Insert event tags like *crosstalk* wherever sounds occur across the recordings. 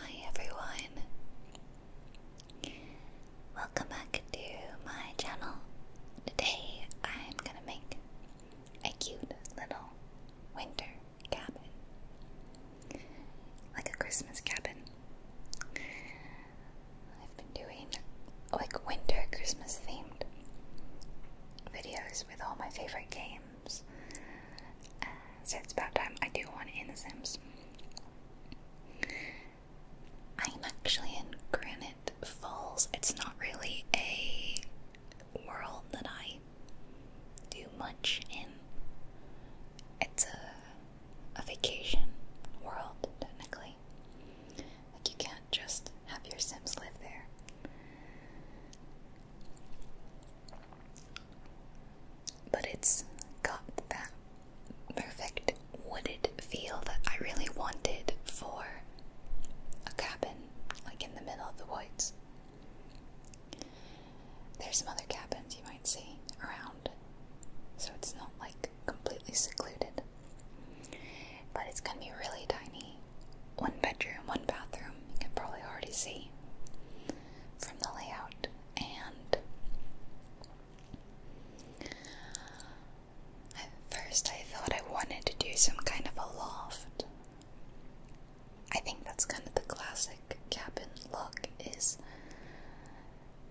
Hi everyone. Welcome back to my channel. Today I'm gonna make a cute little winter cabin. Like a Christmas cabin. I've been doing like winter Christmas themed videos with all my favorite games. Uh, so it's about time I do one in The Sims. I'm actually in Granite Falls. It's not really a world that I do much in. It's a, a vacation world, technically. Like, you can't just have your Sims live there. But it's got that perfect wooded feel that I really wanted for a cabin, like in the middle of the woods. There's some other cabins you might see around, so it's not like completely secluded. But it's gonna be really tiny. One bedroom, one bathroom, you can probably already see from the layout and at first I thought I wanted to do some kind of a loft. I think that's kind of the classic cabin look is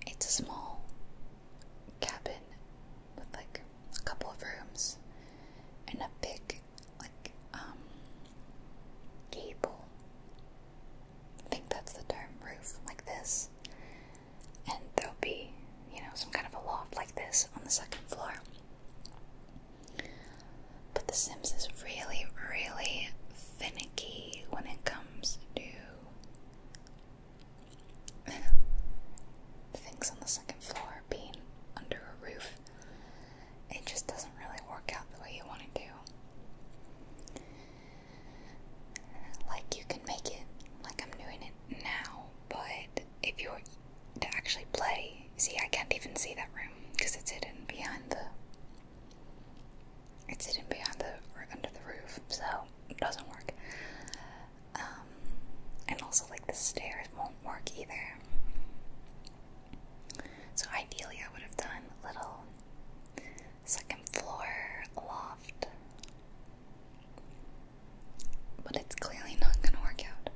it's a small cabin with like a couple of rooms and a big like um gable. I think that's the term roof like this. And there'll be, you know, some kind of a loft like this on the second floor. But The Sims is really, really finicky when it comes to *laughs* things on the second floor being under a roof it just doesn't really work out the way you want it to. Like, you can make it like I'm doing it now, but if you were to actually play, see, I can't even see that room because it's hidden behind the. It's hidden behind the or under the roof, so it doesn't work. Um, and also, like the stairs won't work either. So ideally, I would have done a little second floor loft, but it's clearly not going to work out.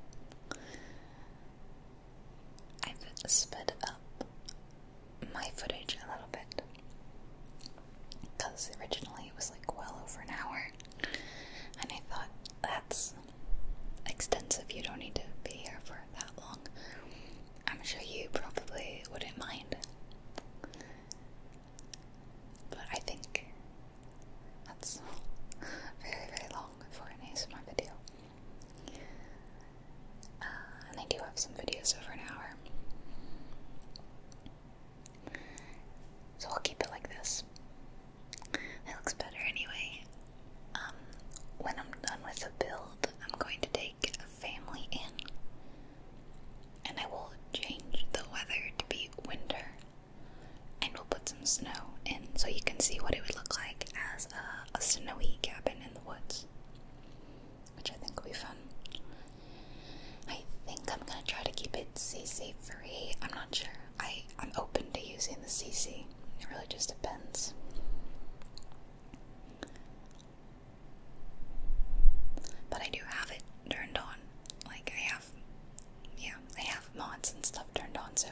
I've sped up my footage a little bit because originally it was like well over an hour, and I thought that's extensive. You don't need to be here for that long. I'm sure you probably wouldn't mind. But I think that's very, very long for an ASMR video. Uh, and I do have some videos over an hour. So I'll keep it like this. It looks better anyway. Um, when I'm done with the build, I'm going to take a family in and I will change the weather to be winter and we'll put some snow in so you can see what it would look like as a, a snowy cabin in the woods. Which I think will be fun. I think I'm gonna try to keep it CC free. I'm not sure. I, I'm open to using the CC. It really just depends. But I do have it turned on. Like, I have, yeah, I have mods and stuff turned on, so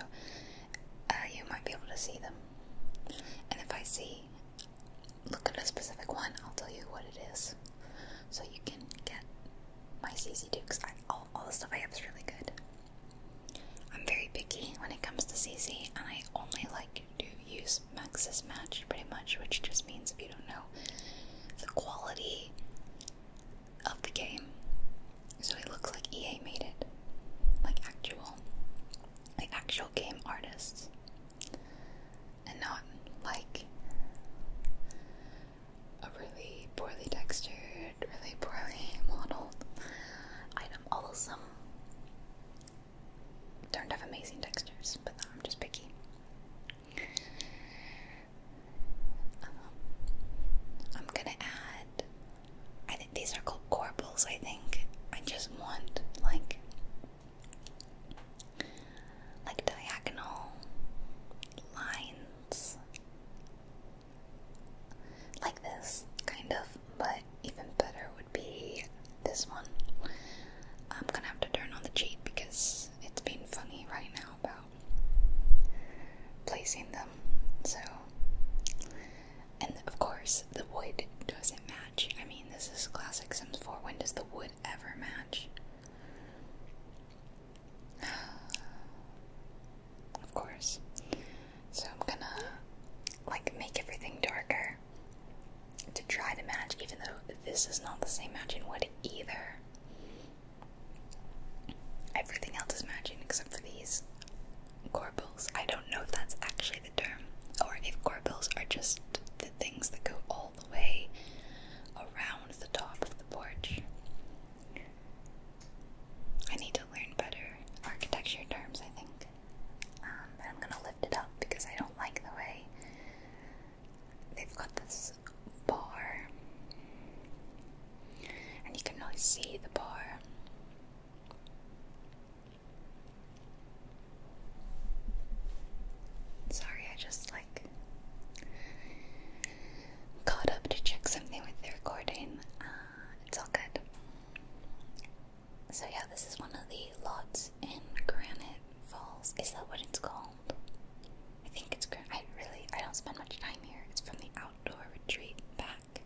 uh, you might be able to see them. And if I see, look at a specific one, I'll tell you what it is. So you can get my CC too, all, all the stuff I have is really good. I'm very picky when it comes to CC, and I only like to use Max's match pretty much, which just means if you don't know the quality of the game. So it looks like EA made it. Like actual like actual game artists. And not like a really poorly textured, really poorly *laughs* modeled item. Although don't have amazing textures, but no, I'm just picky. Um, I'm gonna add. I think these are called corbels. I think I just want like like diagonal lines like this, kind of, but even better would be this one. I'm gonna have to turn on the cheat because it's been funny right now about placing them. So, and of course, the wood doesn't match. I mean, this is classic Sims 4. When does the wood ever match? *sighs* Of course. So I'm gonna like make everything darker to try to match, even though this is not the same matching wood either. Everything else is matching except for these corbels. I don't know if that's actually the term, or if corbels are just the things that go all the way around the top of the porch. I need to learn better architecture terms, I think. Um, I'm gonna lift it up because I don't like the way they've got this bar, and you can really see the bar. Sorry, I just like caught up to check something with the recording. Uh, it's all good. So yeah, this is one of the lots in Granite Falls. Is that what it's called? I think it's Granite. I really, I don't spend much time here. It's from the outdoor retreat back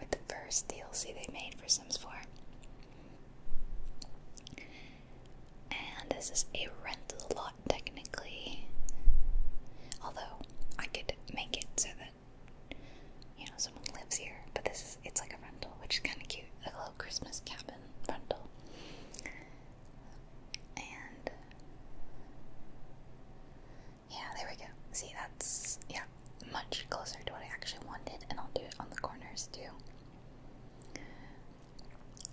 with the first DLC they made for Sims 4. And this is a rental lot technically. Although I could make it so that you know, someone lives here, but this is it's like a rental, which is kind of cute, like a little Christmas cabin rental. And yeah, there we go. See, that's yeah, much closer to what I actually wanted, and I'll do it on the corners too.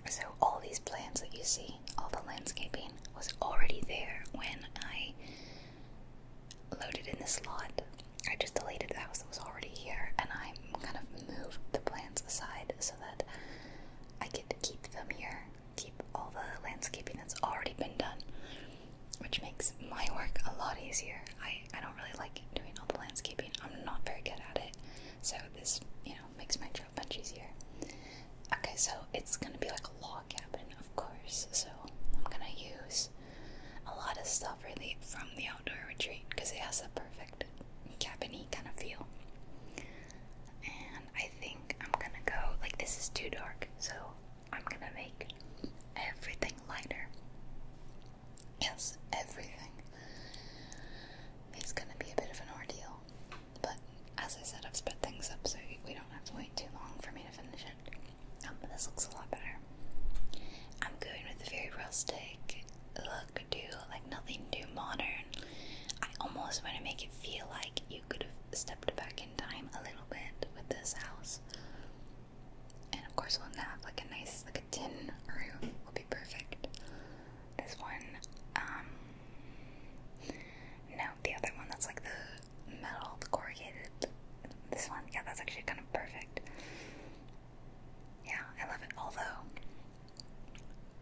So all these plans that you see, all the landscaping was already there when I loaded in this lot. I just deleted the house that was already here and I kind of moved the plants aside so that I could keep them here, keep all the landscaping that's already been done, which makes my work a lot easier. I, I don't really like doing all the landscaping, I'm not very good at it, so this, you know, makes my job much easier. Okay, so it's gonna be like a log cabin, of course, so I'm gonna use a lot of stuff really from the outdoor retreat because it has a perfect cabiny kind of feel. And I think I'm gonna go like this is too dark, so I'm gonna make everything lighter. Yes, everything. It's gonna be a bit of an ordeal, but as I said, I've sped things up so we don't have to wait too long for me to finish it. Um, this looks a lot better. I'm going with a very rustic look too, like nothing too modern. I almost want to make it feel like you could have stepped back in time a little bit with this house. And of course, we'll have like a nice, like a tin roof will be perfect. This one, um, no, the other one that's like the metal, the corrugated. This one, yeah, that's actually kind of perfect. Yeah, I love it. Although,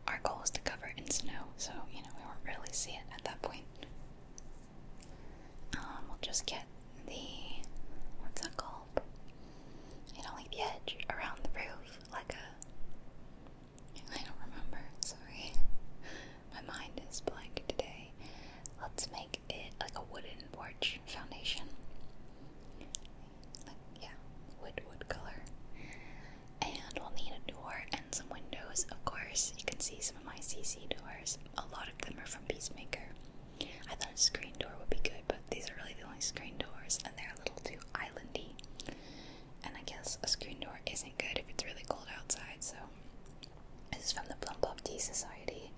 our goal is to cover in snow, so, you know, we won't really see it at that point. Um, we'll just get the. what's that called? You know, like the edge around the roof, like a. I don't remember, sorry. *laughs* My mind is blank today. Let's make like a wooden porch foundation. Like, yeah, wood, wood color. And we'll need a door and some windows, of course. You can see some of my CC doors. A lot of them are from Peacemaker. I thought a screen door would be good, but these are really the only screen doors, and they're a little too islandy. And I guess a screen door isn't good if it's really cold outside, so. This is from the Plum Plum Tea Society,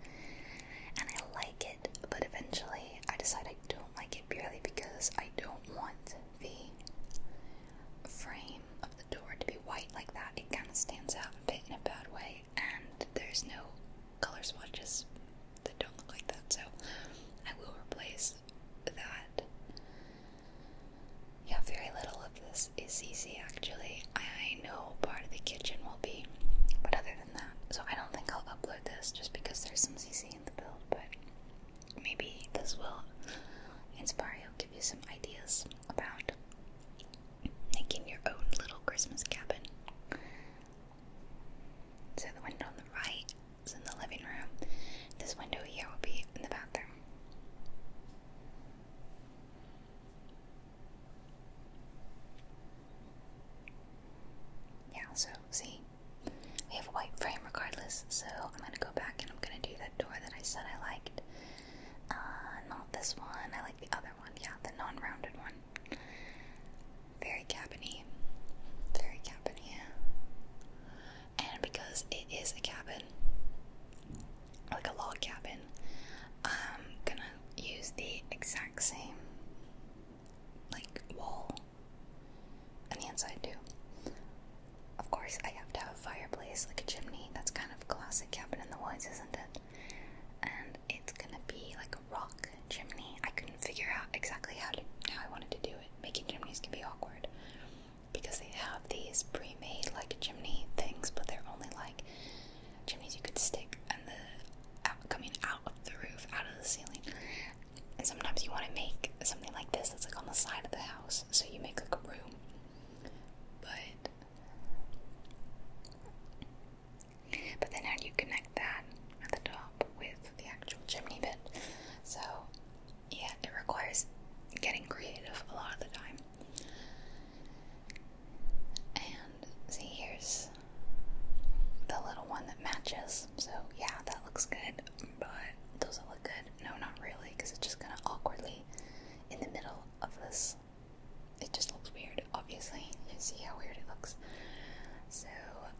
and I like it, but eventually I decided I don't like it purely because I don't want the frame of the door to be white like that. It kind of stands out a bit in a bad way, and there's no color swatches that don't look like that, so I will replace that. Yeah, very little of this is easy actually. I know part of the kitchen will be, but other than that, so I don't think I'll upload this just because there's some CC in the build, but maybe this will inspire you, give you some ideas about making your own little Christmas cabin. So the window on the right is in the living room. This window here will be in the bathroom. Yeah, so see, we have a white frame regardless, so I'm gonna go back and I'm gonna do that door that I said I liked. Uh, not this one, I like the other one, yeah, the non rounded one. Very cabiny, very cabiny, and because it is a cabin, like a log cabin, I'm gonna use the exact same like wall on the inside too. Of course, I have to have a fireplace, like a chimney. That's kind of classic cabin in the woods, isn't it? And it's gonna be like a rock chimney. I couldn't figure out exactly how to how I wanted to do it. Making chimneys can be awkward because they have these pre-made like chimney things, but they're only like chimneys you could stick, and the out, coming out of the roof, out of the ceiling. And sometimes you want to make something like this that's like on the side of the house, so you make like a room. But but then how do you connect that at the top with the actual chimney bit? So yeah, it requires getting creative a lot of the time. And see, here's the little one that matches. So yeah, that looks good, but does it look good? No, not really, because it's just kind of awkwardly in the middle of this. It just looks weird, obviously. You see how weird it looks. So,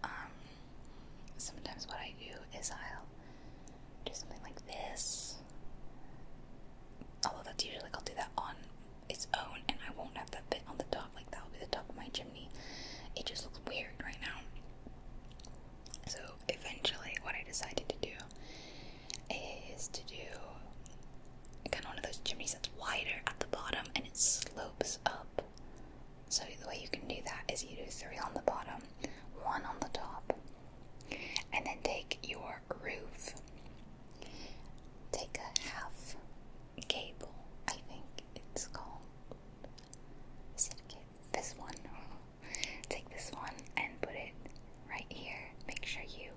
um, sometimes what I do is I'll do something like this. Although that's usually like I'll do that on its own, and I won't have that bit on the top. Like that'll be the top of my chimney. It just looks weird right now. So eventually, what I decided to do is to do kind of one of those chimneys that's wider at the bottom and it slopes up. So the way you can do that is you do three on the bottom, one on the top, and then take your roof. Take a half Cable, I think it's called. Is This one. *laughs* Take this one and put it right here. Make sure you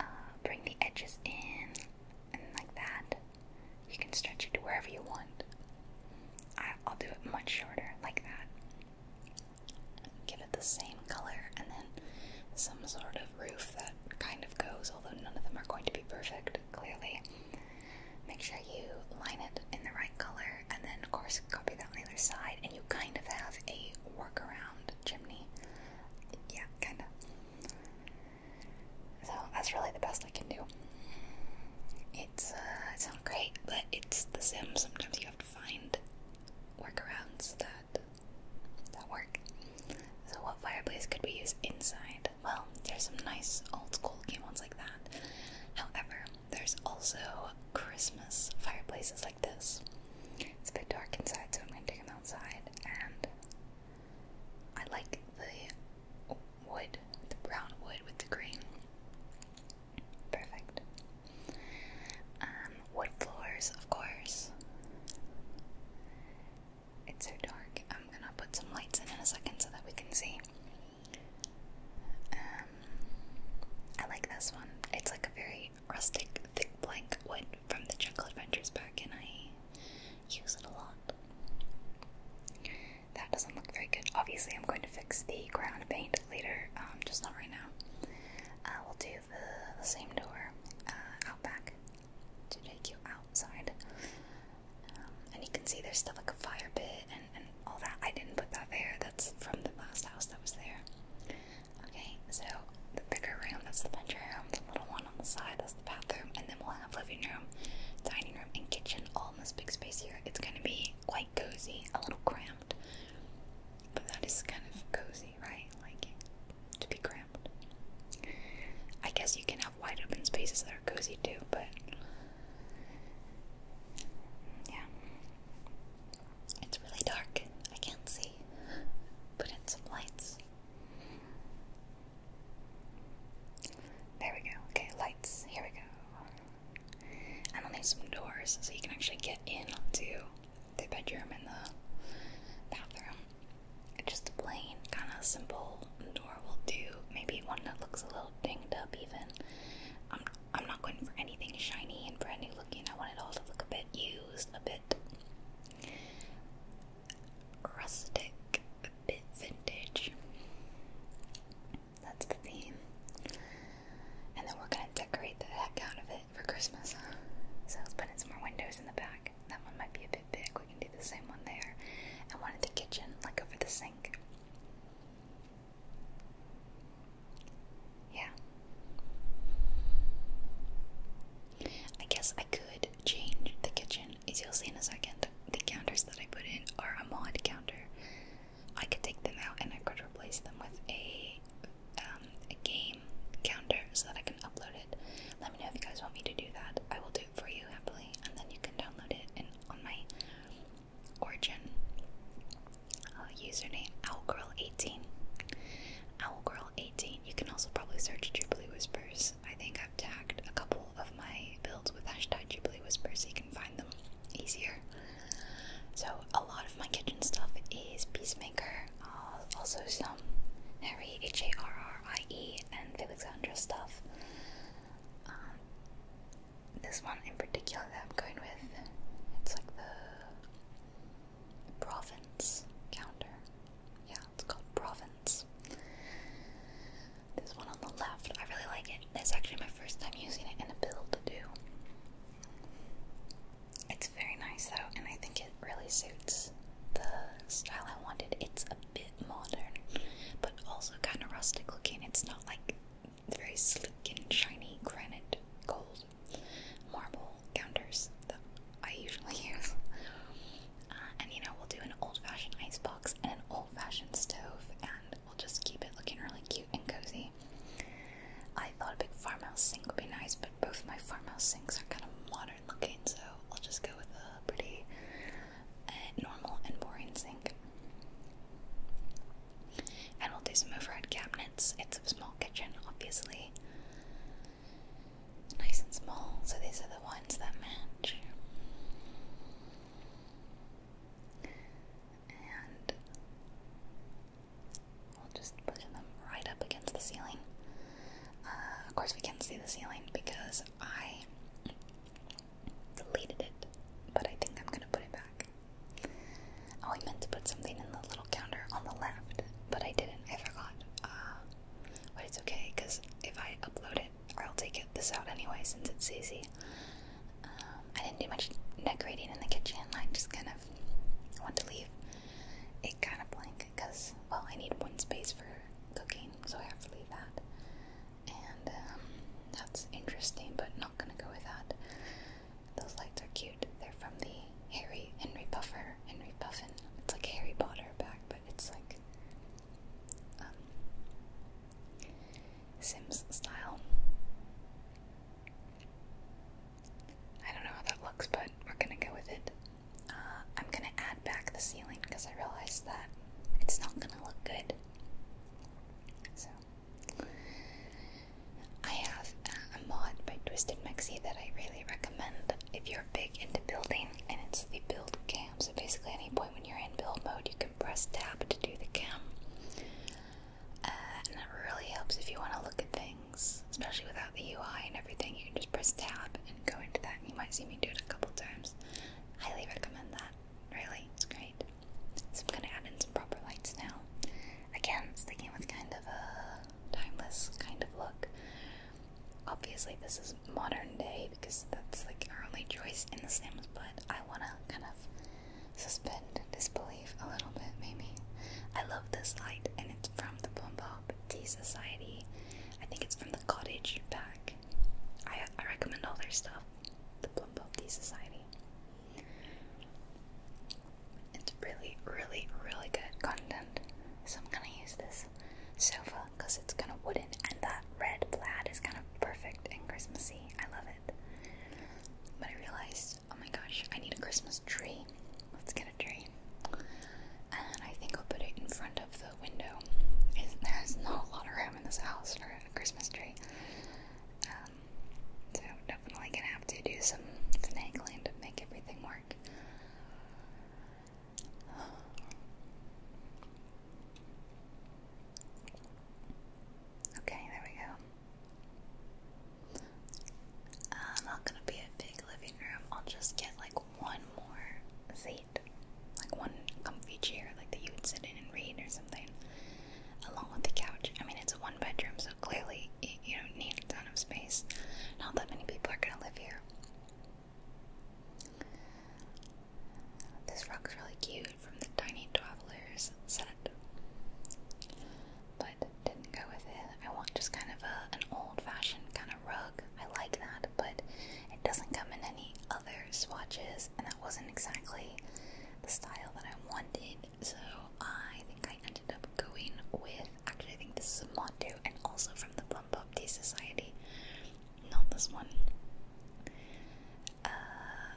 uh, bring the edges in and like that. You can stretch it to wherever you want. I'll do it much shorter, like that. Give it the same color and then some sort of roof that kind of goes, although none of them are going to be perfect clearly. Make sure you line it in the right color, and then of course copy that on the other side, and you kind of have a workaround chimney. Yeah, kinda. So that's really the best I can do. It's uh, it's not great, but it's The Sims. Sometimes you have to find workarounds that that work. So what fireplace could we use inside? Well, there's some nice old school game ones like that. However, there's also Christmas fireplaces like this. It's a bit dark inside, so I'm gonna take them outside. And I like the wood, the brown wood with the green. Perfect. Um, wood floors, of course. It's so dark. I'm gonna put some lights in in a second so that we can see. Um, I like this one. It's like a very rustic, thick blank wood from the Jungle Adventures pack, and I use it a lot. That doesn't look very good. Obviously, I'm going to fix the ground paint later, um, just not right now. I will do the, the same door uh, out back to take you outside and you can see there's still like a fire pit and, and all that. I didn't put that there. That's from the last house that was there. Okay, so the bigger room, that's the bedroom. The little one on the side, that's the bathroom. And then we'll have living room, dining room, and kitchen all in this big space here. It's going to be quite cozy, a little cramped. But that is kind of cozy, right? Like, to be cramped. I guess you can have wide open spaces there cozy too, but yeah. It's really dark. I can't see. Put in some lights. There we go. Okay, lights. Here we go. And I'll need some doors so you can actually get in to the bedroom and the bathroom just a plain, kind of simple door will do. Maybe one that looks a little dinged up, even. I'm I'm not going for anything shiny and brand new looking. I want it all to look a bit used, a bit rustic, a bit vintage. That's the theme. And then we're gonna decorate the heck out of it for Christmas. So I was putting some more windows in the back. That one might be a bit did we can do the same one there. And one in the kitchen, like over the sink. Yeah. I guess I could change the kitchen, as you'll see in a second. The counters that I put in are a mod counter. I could take them out and I could replace them with a um, a game counter so that I can upload it. Let me know if you guys want me to do that. I will do it for you happily, and then you can download it and on my origin uh, username owlgirl18 owlgirl18 you can also probably search Jubilee Whispers I think I've tagged a couple of my builds with hashtag Jubilee Whispers so you can find them easier so a lot of my kitchen stuff is Peacemaker uh, also some Harry H-A-R-R-I-E and Felix Andra stuff um, this one in particular that I'm going with, it's like the province counter. Yeah, it's called province. This one on the left, I really like it. It's actually my first time using it in a build to do. It's very nice though, and I think it really suits the style I wanted. It's a bit modern, but also kind of rustic looking. It's not like very sleek and shiny granite, gold, marble counters that I usually *laughs* use. Uh, and you know, we'll do an old fashioned icebox and an old fashioned stove, and we'll just keep it looking really cute and cozy. I thought a big farmhouse sink would be nice, but both my farmhouse sinks are kind of modern looking, so I'll just go with a pretty normal and boring sink. And we'll do some overhead cabinets. It's a small kitchen, obviously. Nice and small, so these are the ones that match. And we'll just push them right up against the ceiling. Uh, of course, we can't see the ceiling because I deleted it, but I think I'm gonna put it back. Oh, I meant to put something in the little counter on the left, but I didn't. I forgot. Uh, but it's okay, because if I upload it, I'll take it, this out anyway since it's easy. Um, I didn't do much decorating in the kitchen. I just kind of want to leave it kind of blank because, well, I need one space for cooking, so I have to leave that and um, that's interesting, but not gonna go with that. Those lights are cute. They're from the Harry Henry Puffer, Henry Puffin. It's like Harry Potter back, but it's like um, Sims style. I don't know how that looks, but we're gonna go with it. Uh, I'm gonna add back the ceiling because I realized that it's not gonna look good. So I have a, mod by Twisted Mexi that I really recommend if you're big into building, and it's the build cam. So basically, any point when you're in build mode, you can press tab to do the cam, uh, and that really helps if you want to look at things, especially without the UI and everything. You can just press tab and go into that. And you might see me do it a couple times. Highly recommend that. Really, it's great. So I'm gonna add in some proper lights now. Again, sticking with kind of a timeless kind of look. Obviously, this is modern day because that's like our only choice in The Sims, but I wanna kind of suspend disbelief a little bit, maybe. I love this light, and it's from the Bombop Tea Society. I think it's from the Cottage back. I, I recommend all their stuff the Plum Tea Society. It's really, really, really good content. So I'm gonna use this sofa because it's kind of wooden and that red plaid is kind of perfect and Christmassy. I love it. But I realized, oh my gosh, I need a Christmas tree. Let's get a tree. And I think I'll put it in front of the window. There's not a lot of room in this house a Christmas tree. Um, so definitely gonna have to do some finagling to make everything work. Okay, there we go. Uh, not gonna be a big living room. I'll just get like one more seat bed, like one comfy chair, like that you would sit in and read or something, along with the couch. I mean, it's a one bedroom, so clearly you don't need a ton of space. Not that many people are gonna live here. This rock's really cute from the Tiny Travelers set, but didn't go with it. I want just kind of a, an old fashioned kind of rug. I like that, but it doesn't come in any other swatches, and that wasn't exactly the style that I wanted, so I think I ended up going with. Actually, I think this is a Mondu and also from the Plum Tea Society. Not this one. Uh,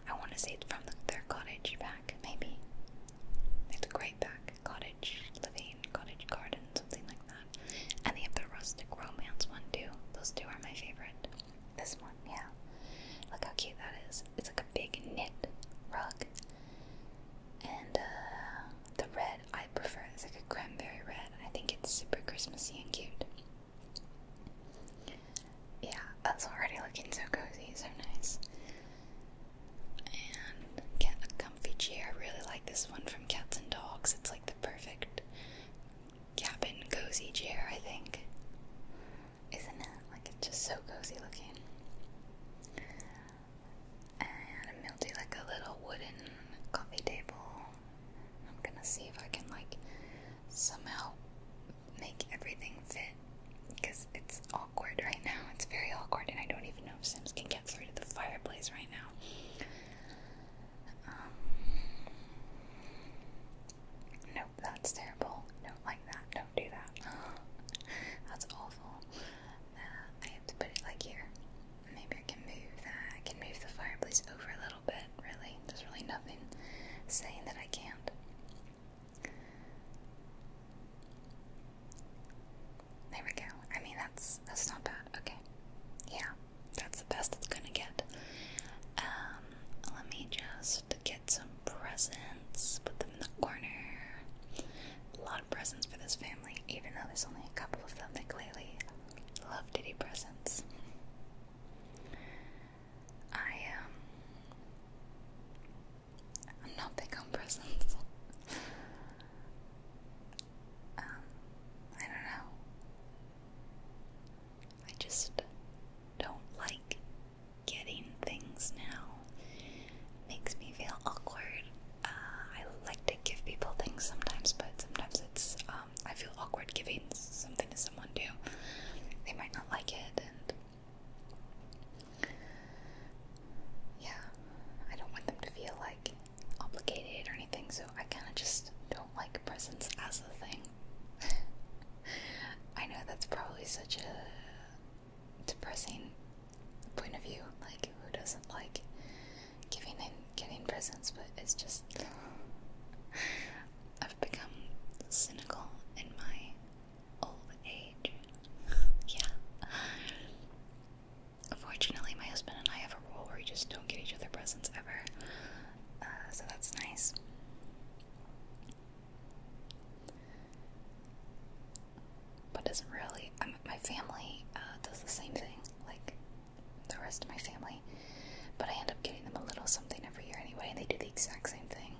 I want to say it's from the, their cottage pack, maybe. It's a great pack. Cottage living, cottage garden, something like that. And they have the rustic romance one too. Those two are my favorite. This one, yeah. Look how cute that is. It's like a big knit rug. And uh, the red, I prefer. It's like a cranberry red. I think it's super Christmasy and cute. Yeah, that's already looking so cozy, so nice. And get a comfy chair. I really like this one from Cats and Dogs. It's like the perfect cabin cozy chair, I think. Isn't it? Like it's just so cozy looking. And I'm gonna do like a little wooden coffee table. I'm gonna see if I can like somehow make everything fit because it's awkward right now. It's very awkward, and I don't even know Sims can get through to the fireplace right now. Um, Nope, that's terrible. Don't like that. Don't do that. *gasps* that's awful. Uh, I have to put it like here. Maybe I can move that. I can move the fireplace over a little bit, really. There's really nothing saying that I can't. There we go. I mean, that's that's not bad. Okay. Yeah, that's the best it's gonna get. Um, let me just to get some presents, put them in the corner. A lot of presents for this family, even though there's only a couple of them. They clearly love to do presents. I am um, not big on presents. *laughs* Um, I don't know. I just don't like getting things now. Makes me feel awkward. Uh, I like to give people things sometimes, but sometimes it's um, I feel awkward giving something to someone too. They might not like it, and yeah, I don't want them to feel like obligated or anything. So I kind of just don't like presents as a thing. *laughs* I know that's probably such a depressing point of view. Like, who doesn't like giving and getting presents? But it's just. *sighs* I've become cynical in my old age. *laughs* yeah. Unfortunately, my husband and I have a rule where we just don't get each other presents ever. Uh, so that's nice. But doesn't really. Um, my family uh, does the same thing, like the rest of my family. But I end up getting them a little something every year anyway. and They do the exact same thing.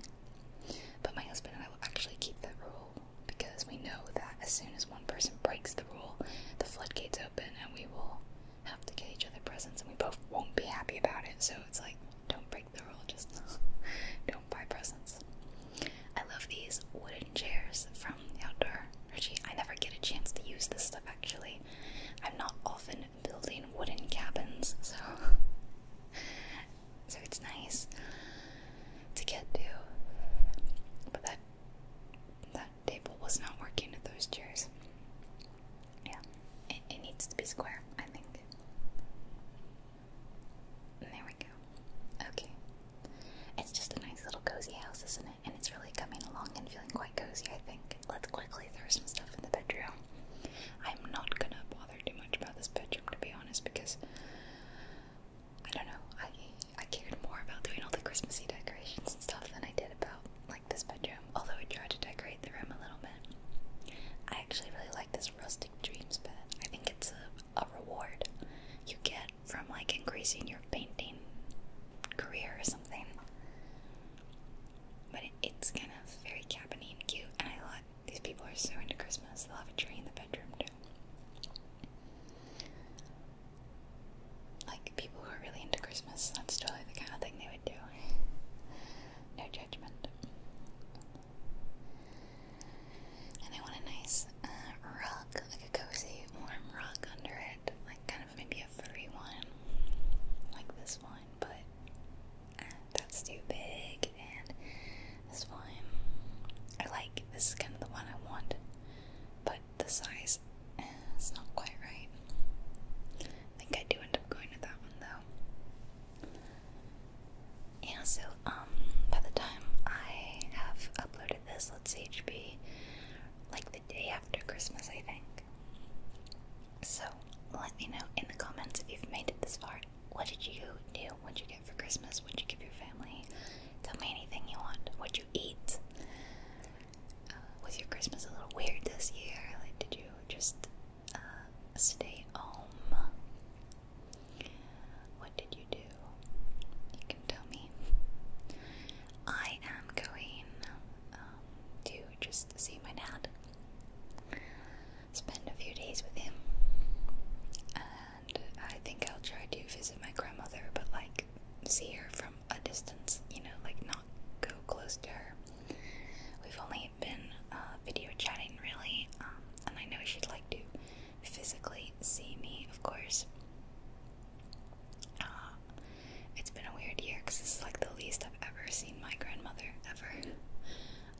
But my husband and I will actually keep that rule because we know that as soon as one person breaks the rule, the floodgates open and we will have to get each other presents and we both won't be happy about it. So it's like don't break the rule just now. *laughs* Don't buy presents. I love these wooden chairs from the outdoor. Richie, I never get a chance to use this stuff actually. I'm not often building wooden cabins, so *laughs* so it's nice to get to. But that that table was not working at those chairs. Yeah, it, it needs to be square, I think. There we go. Okay. It's just a nice little cozy house, isn't it? And it's really coming along and feeling quite cozy, I think. Let's quickly throw some stuff in the bedroom. I'm not gonna bother too much about this bedroom, to be honest, because I don't know. I I cared more about doing all the Christmassy decorations and stuff than I did about like this bedroom. Although I tried to decorate the room a little bit. I actually really like this rustic dreams bed. I think it's a, reward you get from like increasing your painting career or something. But it's kind of very cabiny and cute, and I thought these people are so into Christmas. They'll have a tree in the bedroom too. Like people who are really into Christmas, that's totally the kind of thing they would do. no joke. And I want a nice uh, rug, like a cozy, warm rug under it, like kind of maybe a furry one, like this one, but uh, that's too big. And this one, I like. This is kind of the one I want, but the size uh, is not quite right. I think I do end up going with that one though. Yeah, so um by the time I have uploaded this, let's see, it should be like the day after Christmas, I think. So let me know in the comments if you've made it this far. What did you do? What'd you get for Christmas? What'd you give your family? Tell me anything you want. What'd you eat? Uh, was your Christmas a little weird this year? Like, did you just uh, stay home. What did you do? You can tell me. I am going um, to just see my dad, spend a few days with him, and I think I'll try to visit my grandmother, but like see her from a distance, you know, like not go close to her. We've only I've been uh, video chatting really, um, and I know she'd like to physically see me, of course. Uh, it's been a weird year because this is like the least I've ever seen my grandmother ever.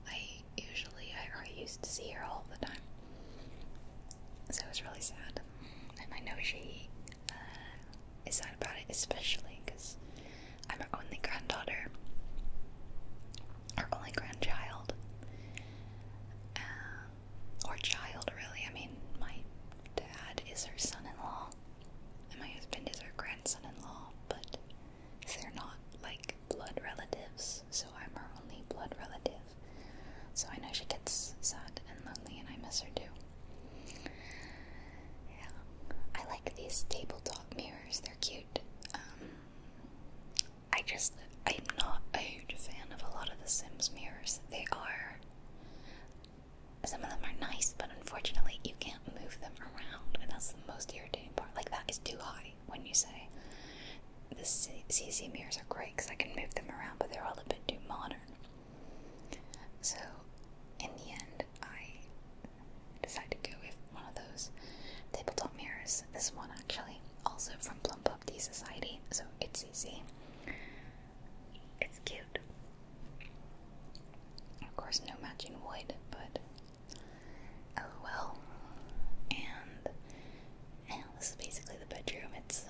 I usually I, I used to see her all the time, so it was really sad, and I know she uh, is sad about it, especially because I'm her only granddaughter, her only grandchild, uh, or child, really. I mean, my dad is her son in law, and my husband is her grandson in law, but they're not like blood relatives, so I'm her only blood relative. So I know she gets sad and lonely, and I miss her too. Yeah, I like these tabletop mirrors. They're cute. Um, I just, I'm not a huge fan of a lot of The Sims mirrors. They are, some of them are nice, but unfortunately you can't move them around, and that's the most irritating part. Like, that is too high when you say the CC mirrors are great because I can move them around, but they're all a bit too modern. So, in the end, I Decided to go with one of those tabletop mirrors. This one actually, also from Plump Up Tea Society, so it's easy. It's cute. Of course, no matching wood, but oh well. And this is basically the bedroom. It's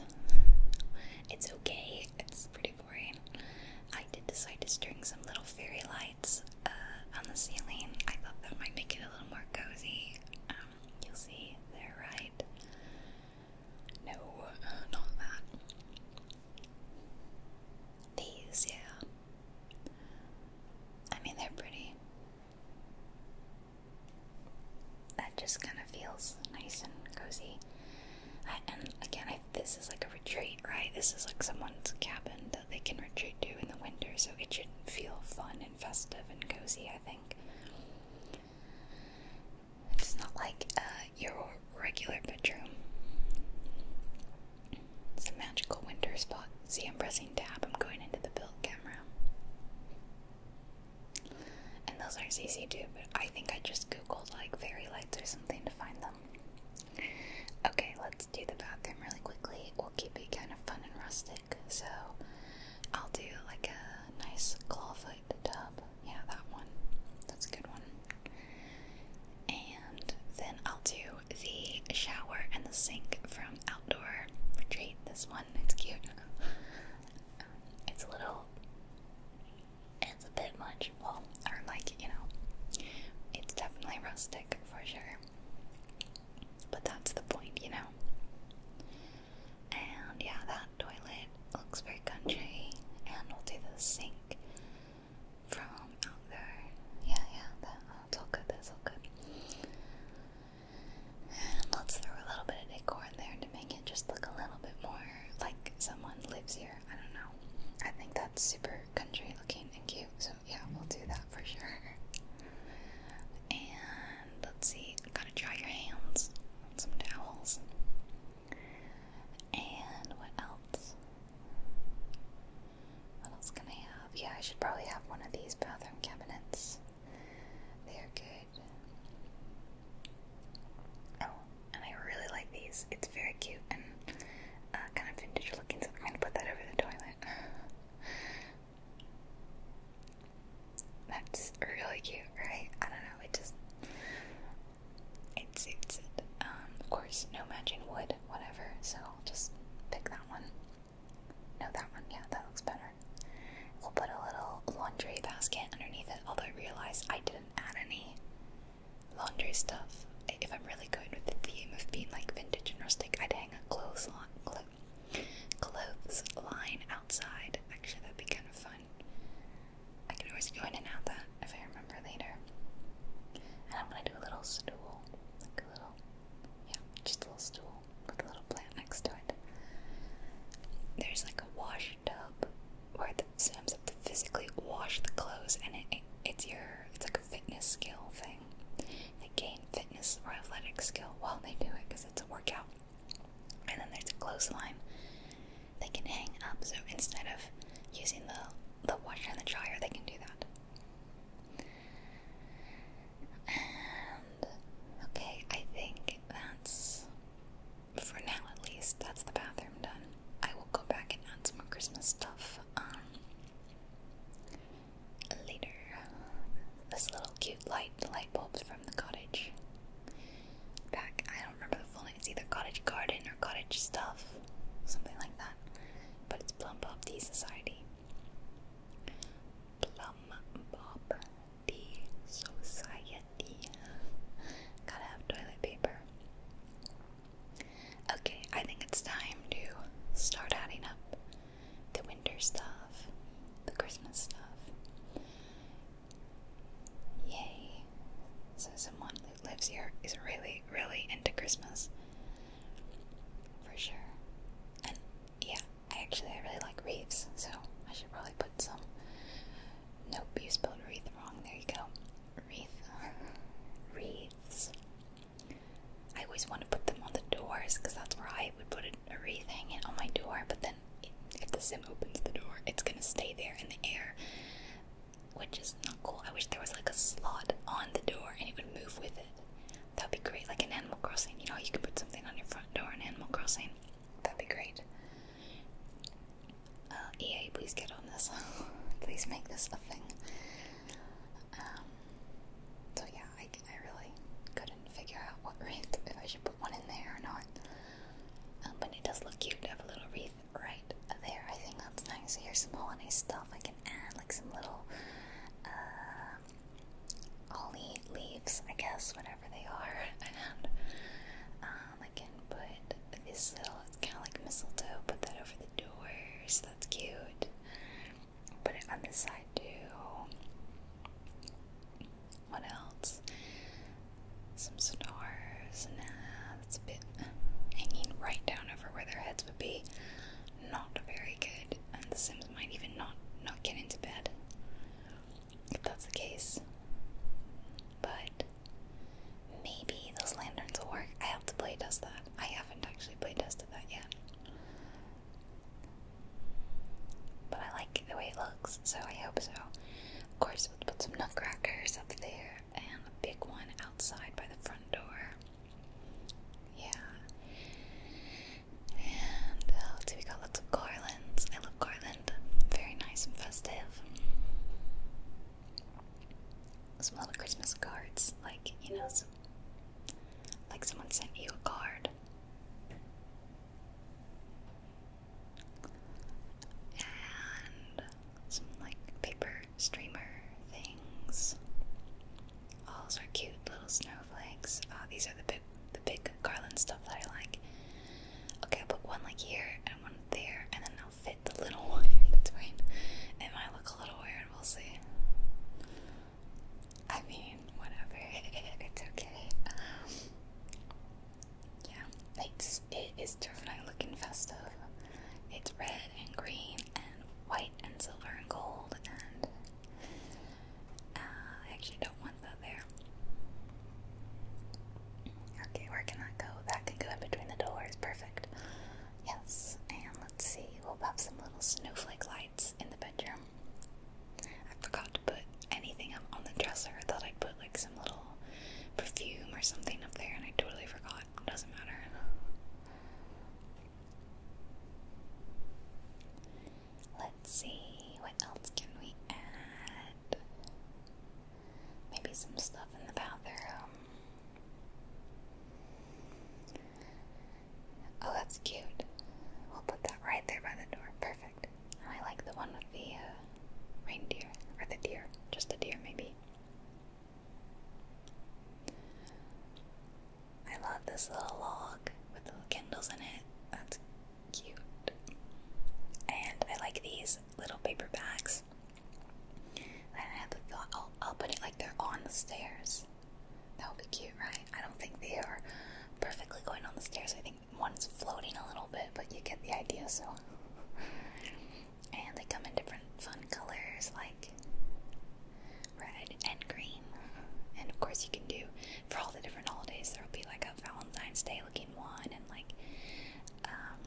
it's okay. It's pretty boring. I did decide to string some little fairy lights. Uh, on the ceiling. I thought that might make it a little more cozy. Um, you'll see, they're right. No, not that. These, yeah. I mean, they're pretty. That just kind of feels nice and cozy. and again, this is like a retreat, right? This is like someone's cabin, they can retreat to in the winter, so it should feel fun and festive and cozy, I think. It's not like uh, your regular bedroom. It's a magical winter spot. See, I'm pressing tab, I'm going into the build camera. And those are CC too, but I think I just googled like fairy lights or something to find them. Okay, let's do the bathroom really quickly keep it kind of fun and rustic. So I'll do like a nice clawfoot tub. Yeah, that one. That's a good one. And then I'll do the shower and the sink from Outdoor Retreat. This one, it's cute. *laughs* it's a little, it's a bit much. Well, or like, you know, it's definitely rustic for sure. But that's the point, you know? And yeah, that toilet looks very country, and we'll do the sink from out there. Yeah, yeah, that, that's all good, that's all good. And let's throw a little bit of decor in there to make it just look a little bit more like someone lives here. I don't know. I think that's super country looking and cute, yeah, we'll do that for sure. And let's see, gotta dry your hands some towels. And what else? What else can I have? Yeah, I should probably have one of these bathroom cabinets. They are good. Oh, and I really like these. It's very cute and uh, kind of vintage looking, so I'm going to put that over the toilet. That's really cute, right? I don't know, it just it suits it. Um, of course, no matching wood, whatever, so I'll just pick that one. No, that one, yeah, that looks better. We'll put a little laundry basket underneath it, although I realize I didn't add any laundry stuff. If I'm really going with the theme of being like vintage and rustic, I'd hang a clothesline, Clothes line outside. Actually, that'd be kind of fun. I can always go in and out that if I remember later. And I'm gonna do a little stool. Like a little, yeah, just a little stool with a little plant next to it. There's like a wash tub where the Sam's have to physically wash the clothes, and it, it's your, it's like a fitness skill thing. They gain fitness or athletic skill while they do it because it's a workout. And then there's a clothesline they can hang up, so instead of using the, the washer and the dryer, they can do that. And okay, I think that's for now at least. That's the bathroom done. I will go back and add some more Christmas stuff. Um, later. This little cute light, the light bulbs from the cottage. Back, I don't remember the full name. It's either Cottage Garden or Cottage Stuff, something like that. But it's Plum Bob Tea Society. Plum Bob Tea Society. Gotta have toilet paper. Okay, I think it's time to start adding up the winter stuff, the Christmas stuff. Yay! So, someone who lives here is really, really into Christmas. For sure. And yeah, I actually I really like wreaths, so I should probably put some. Nope, you spelled wreath wrong. There you go. Wreath. *laughs* Wreaths. I always want to put them on the doors because that's where I would put a wreath hanging on my door. But then, if the sim opens the door, it's gonna stay there in the air, which is not cool. I wish there was like a slot on the door and it would move with it. That would be great, like an Animal Crossing. You know, you can put something on your front door an Animal Crossing. That'd be great. Uh, EA, please get on this. *laughs* please make this a thing. Um, so yeah, I I really couldn't figure out what wreath, if I should put one in there or not. Um, but it does look cute to have a little wreath right there. I think that's nice. Here's some holiday stuff I can add, like some little uh, holly leaves, I guess, whatever they are. *laughs* And um, I can put this little, it's kind of like mistletoe, put that over the doors. That's cute. Put it on this side too. What else? Some stars. Nah, that's a bit hanging right down over where their heads would be. Not very good. And the Sims might even not not get into bed if that's the case. But maybe those lanterns will work. I have to play that. I haven't actually play that yet. But I like the way it looks, so I hope so. Of course, we'll put some nutcrackers up there and a big one outside by the front door. Yeah. And uh, we got lots of garlands. I love garland. Very nice and festive. Some little Christmas cards, like, you know, like someone sent you a card and some like paper streamer things. All are cute little snowflakes. Oh, these are the big, the big garland stuff that I like. Okay, I'll put one like here and one there, and then I'll fit the little *laughs* one in between. It might look a little weird. We'll see. I mean, whatever. *laughs* it's okay. Um, yeah, it's it is definitely looking festive. It's red and green and white and silver and gold and uh, I actually don't want that there. Okay, where can that go? That can go in between the doors. Perfect. Yes, and let's see. We'll pop some little snowflake lights in the bedroom. I forgot to put anything up on the dresser. I thought I'd put like some little perfume or something up there, and I totally forgot. Doesn't matter. Let's see, what else can we add? Maybe some stuff in the bathroom. Oh, that's cute. We'll put that right there by the door. Perfect. I like the one with the uh, reindeer. Or the deer. Just a deer, maybe. I love this little log with the kindles in it. That's cute. And I like these little paper bags. And I have the thought, I'll put it like they're on the stairs. That would be cute, right? I don't think they are perfectly going on the stairs. I think one's floating a little bit, but you get the idea, so. and they come in different fun colors like red and green. And of course, you can do for all the different holidays, there will be like a Valentine's Day looking one, and like um,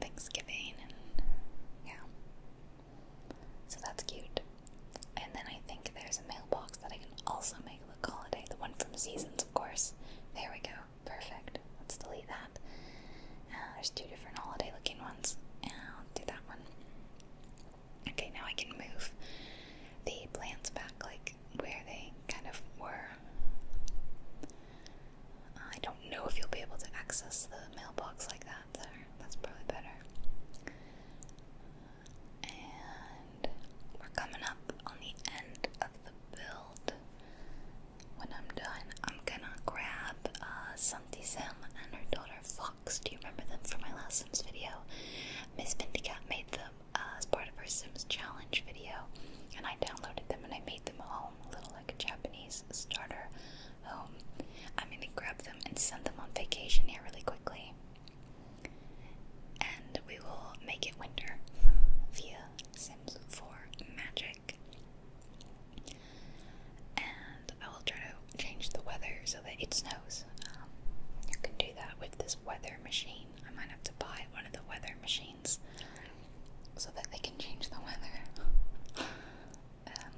Thanksgiving, and yeah. So that's cute. And then I think there's a mailbox that I can also make look holiday. The one from Seasons, of course. There we go. Perfect. Let's delete that. Uh, there's two different holiday looking ones. I'll do that one. Okay, now I can move the plants back like where they kind of were. I don't know if you'll be able to access the mailbox like that That's probably better. And we're coming up on the end of the build. When I'm done, I'm gonna grab uh, Santi Sim and her daughter Fox. Do you remember them from my last Sims video? Miss Pindycat made them uh, as part of her Sims challenge video, and I downloaded them and I made them a home, a little like a Japanese starter home. I'm gonna grab them and send them on vacation here really quickly. And we will make it winter via Sims 4 magic. And I will try to change the weather so that it snows. Um, you can do that with this weather machine. I might have to buy one of the weather machines so that they can change the weather. *laughs* Um,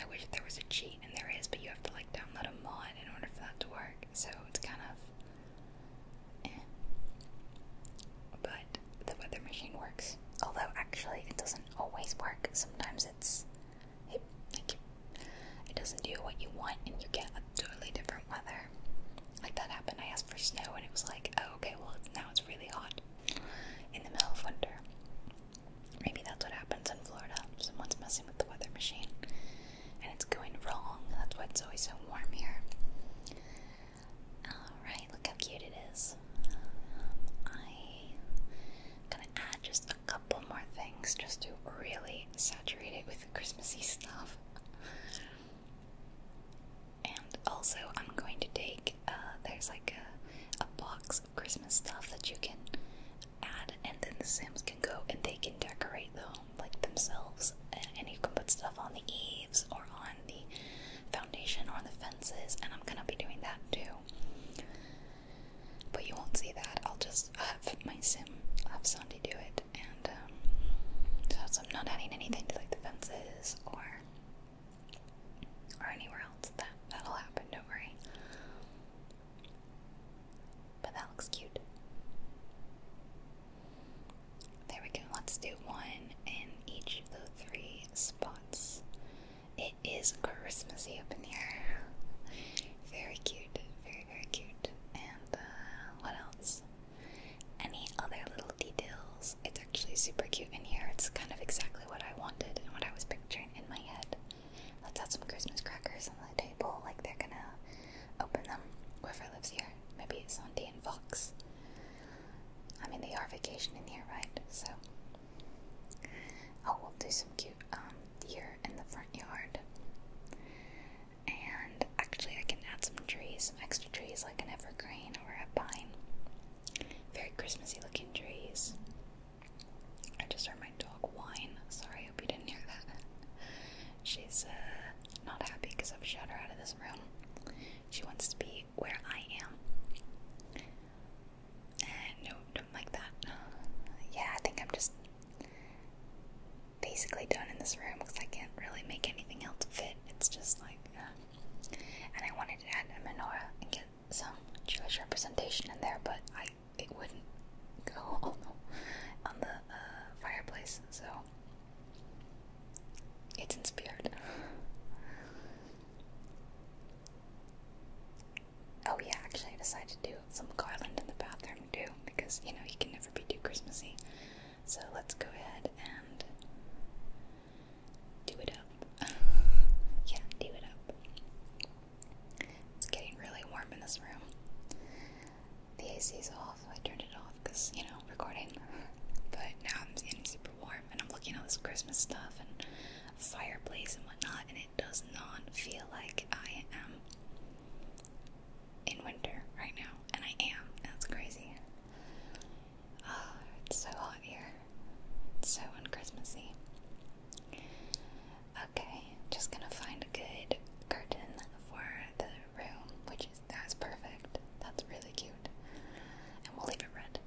I wish there was a cheat, and there is, but you have to like download a mod in order for that to work. So it's kind of, eh. But the weather machine works. Although actually, it doesn't always work. Sometimes it's, hey, thank you. It doesn't do what you want, and you get a totally different weather. Like that happened. I asked for snow, and it was like, oh, okay, well now it's really hot in the middle of winter. Maybe that's what happens in Florida. Someone's messing with the weather machine and it's going wrong. That's why it's always so warm here. Alright, look how cute it is. I'm gonna add just a couple more things just to really saturate it with Christmassy stuff. And also, I'm going to take, uh, there's like a box of Christmas stuff that you can add, and then the Sims can go and they can decorate the home like themselves. And, you can put stuff on the eaves or on the foundation or on the fences. And I'm gonna be doing that too. But you won't see that. I'll just have my Sim, have Sandy do it. And um, so, so I'm not adding anything to like the fences or or anywhere else. That that'll happen. Don't worry. But that looks cute. There we go. Let's do one in each of the three spots. It is Christmassy up in here. Very cute. Very, very cute. And uh, what else? Any other little details? It's actually super cute in here. It's kind of exactly what I wanted and what I was picturing in my head. Let's add some Christmas crackers on the table, like they're gonna open them. Whoever lives here, maybe it's Sandy and Fox. I mean, they are vacationing here, right? So, oh, we'll do some cute um deer in the front yard. And actually, I can add some trees, some extra trees, like an evergreen or a pine. Very Christmassy looking trees. I just heard my dog whine. Sorry, hope you didn't hear that. *laughs* She's uh, not happy because I've shut her out of this room. She wants to be where I am. And eh, don't like that. Yeah, I think I'm just basically done in this room because I can't really make anything else fit. It's just like, uh, and I wanted to add a menorah and get some Jewish representation in there, but I it wouldn't go *laughs* on the, uh, fireplace, so it's inspired. *laughs* oh yeah, actually I decided to do some garland in the bathroom too, because you know you can never be too Christmassy. So let's go ahead and do it up. *laughs* yeah, do it up. It's getting really warm in this room. The AC is off, so I turned it off because, you know, recording. But now I'm getting super warm and I'm looking at all this Christmas stuff and fireplace and whatnot, and it does not feel like I am in winter right now. And I am. That's crazy. Oh, it's so hot here. It's so un-Christmassy. Okay, just gonna find a good curtain for the room, which is that's perfect. That's really cute. And we'll leave it red.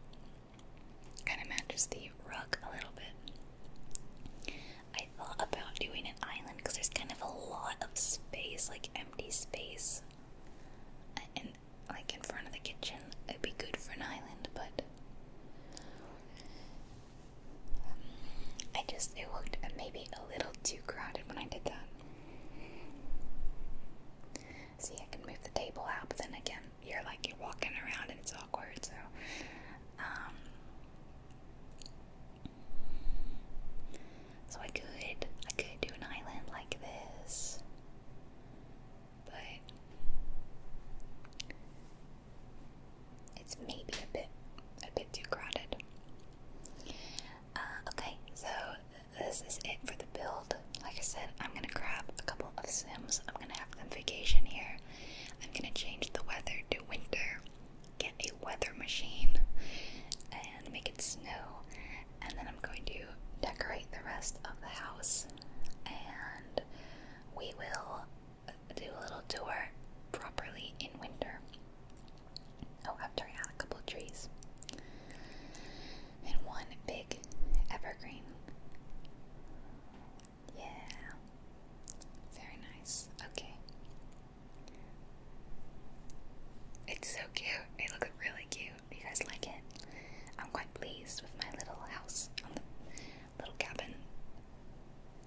Kind of matches the rug a little bit. I thought about doing an island because there's kind of a lot of space, like empty space, and uh, like in front of the kitchen. It'd be good for an island, but I just, it looked maybe a little too crowded when I did that. See, I can move the table out, but then again, you're like, you're walking around and it's awkward, so. Um, so I could, I could do an island like this, but it's maybe a bit, a bit too crowded. Uh, okay, so this is it for the build. Like I said, I'm gonna grab a couple of Sims. I'm gonna have them vacation here. I'm gonna change the weather to winter. Get a weather machine and make it snow, and then I'm going to decorate the rest of the house. And we will do a little tour properly in winter. Oh, after I had a couple trees. And one big evergreen. Yeah. Very nice. Okay. It's so cute. It looks really cute. You guys like it? I'm quite pleased with my little house little cabin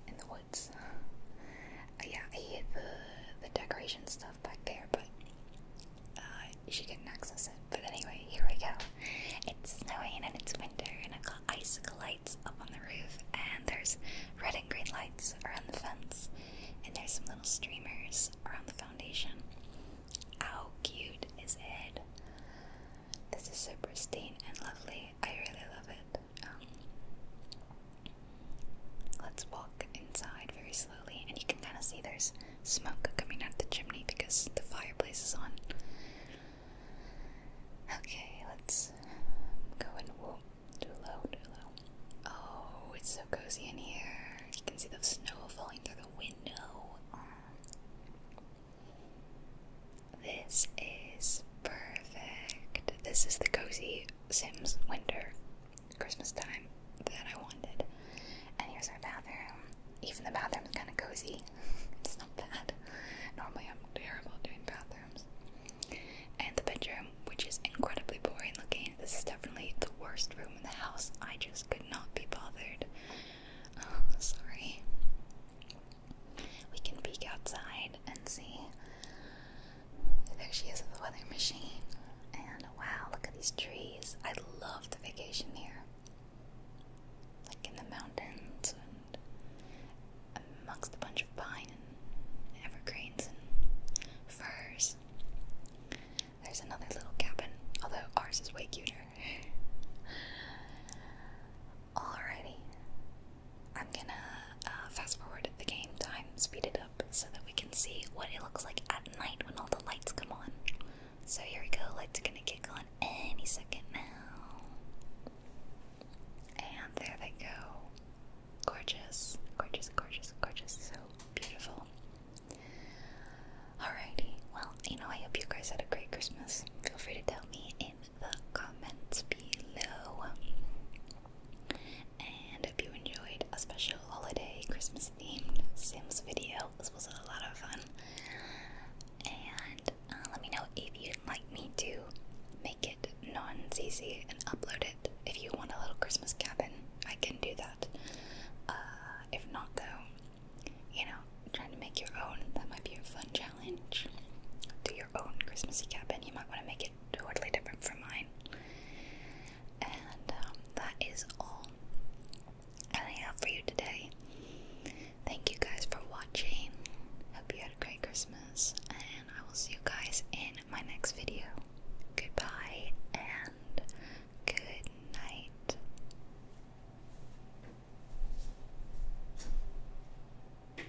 in the woods. Uh, yeah, I hid the, the decoration stuff back there, but uh, she couldn't access it. But anyway, here we go. It's snowing and it's winter, and i got icicle lights up on the roof, and there's red and green lights around the fence, and there's some little streamers around the foundation. How cute is it? This is so pristine and lovely. I really love it. Um, let's walk inside very slowly, and you can kind of see there's smoke coming out the chimney because the fireplace is on. Okay, let's go in. Whoa, too low, Oh, it's so cozy in here. You can see the snow falling through the window. Um, this is perfect. This is the cozy Sims winter Christmas time that I wanted. And here's our bathroom. Even the bathroom is kind of cozy. *laughs* it's not bad. Normally, I'm terrible at doing bathrooms. And the bedroom, which is incredibly boring looking. This is definitely the worst room in the house. I just could not be bothered. Oh, *laughs* sorry. We can peek outside and see. There she is at the weather machine. And wow, look at these trees. I love the vacation here. Like in the mountains and amongst a bunch of pine and evergreens and firs. There's another little cabin, although ours is way cuter. Alrighty. I'm gonna uh, fast forward the game time, speed it up, so that we can see what it looks like at night when all the lights come on. So here we go, lights gonna kick on any second now. And there they go. Gorgeous, gorgeous, gorgeous, gorgeous, so beautiful. Alrighty, well, you know, I hope you guys had a great Christmas. Feel free to tell me in the comments below. And if you enjoyed a special holiday Christmas themed Sims video, this was a lot of fun. And uh, let me know if you'd like me to make it non CC and upload it. If you want a little Christmas cabin, I can do that. Uh, if not, though, you know, trying to make your own, that might be a fun challenge. Do your own Christmassy cabin, you might want to make it totally different from mine. And um, that is all I have for you today. Thank you guys for watching. Hope you had a great Christmas, and I will see you guys in my next video. Goodbye and good night.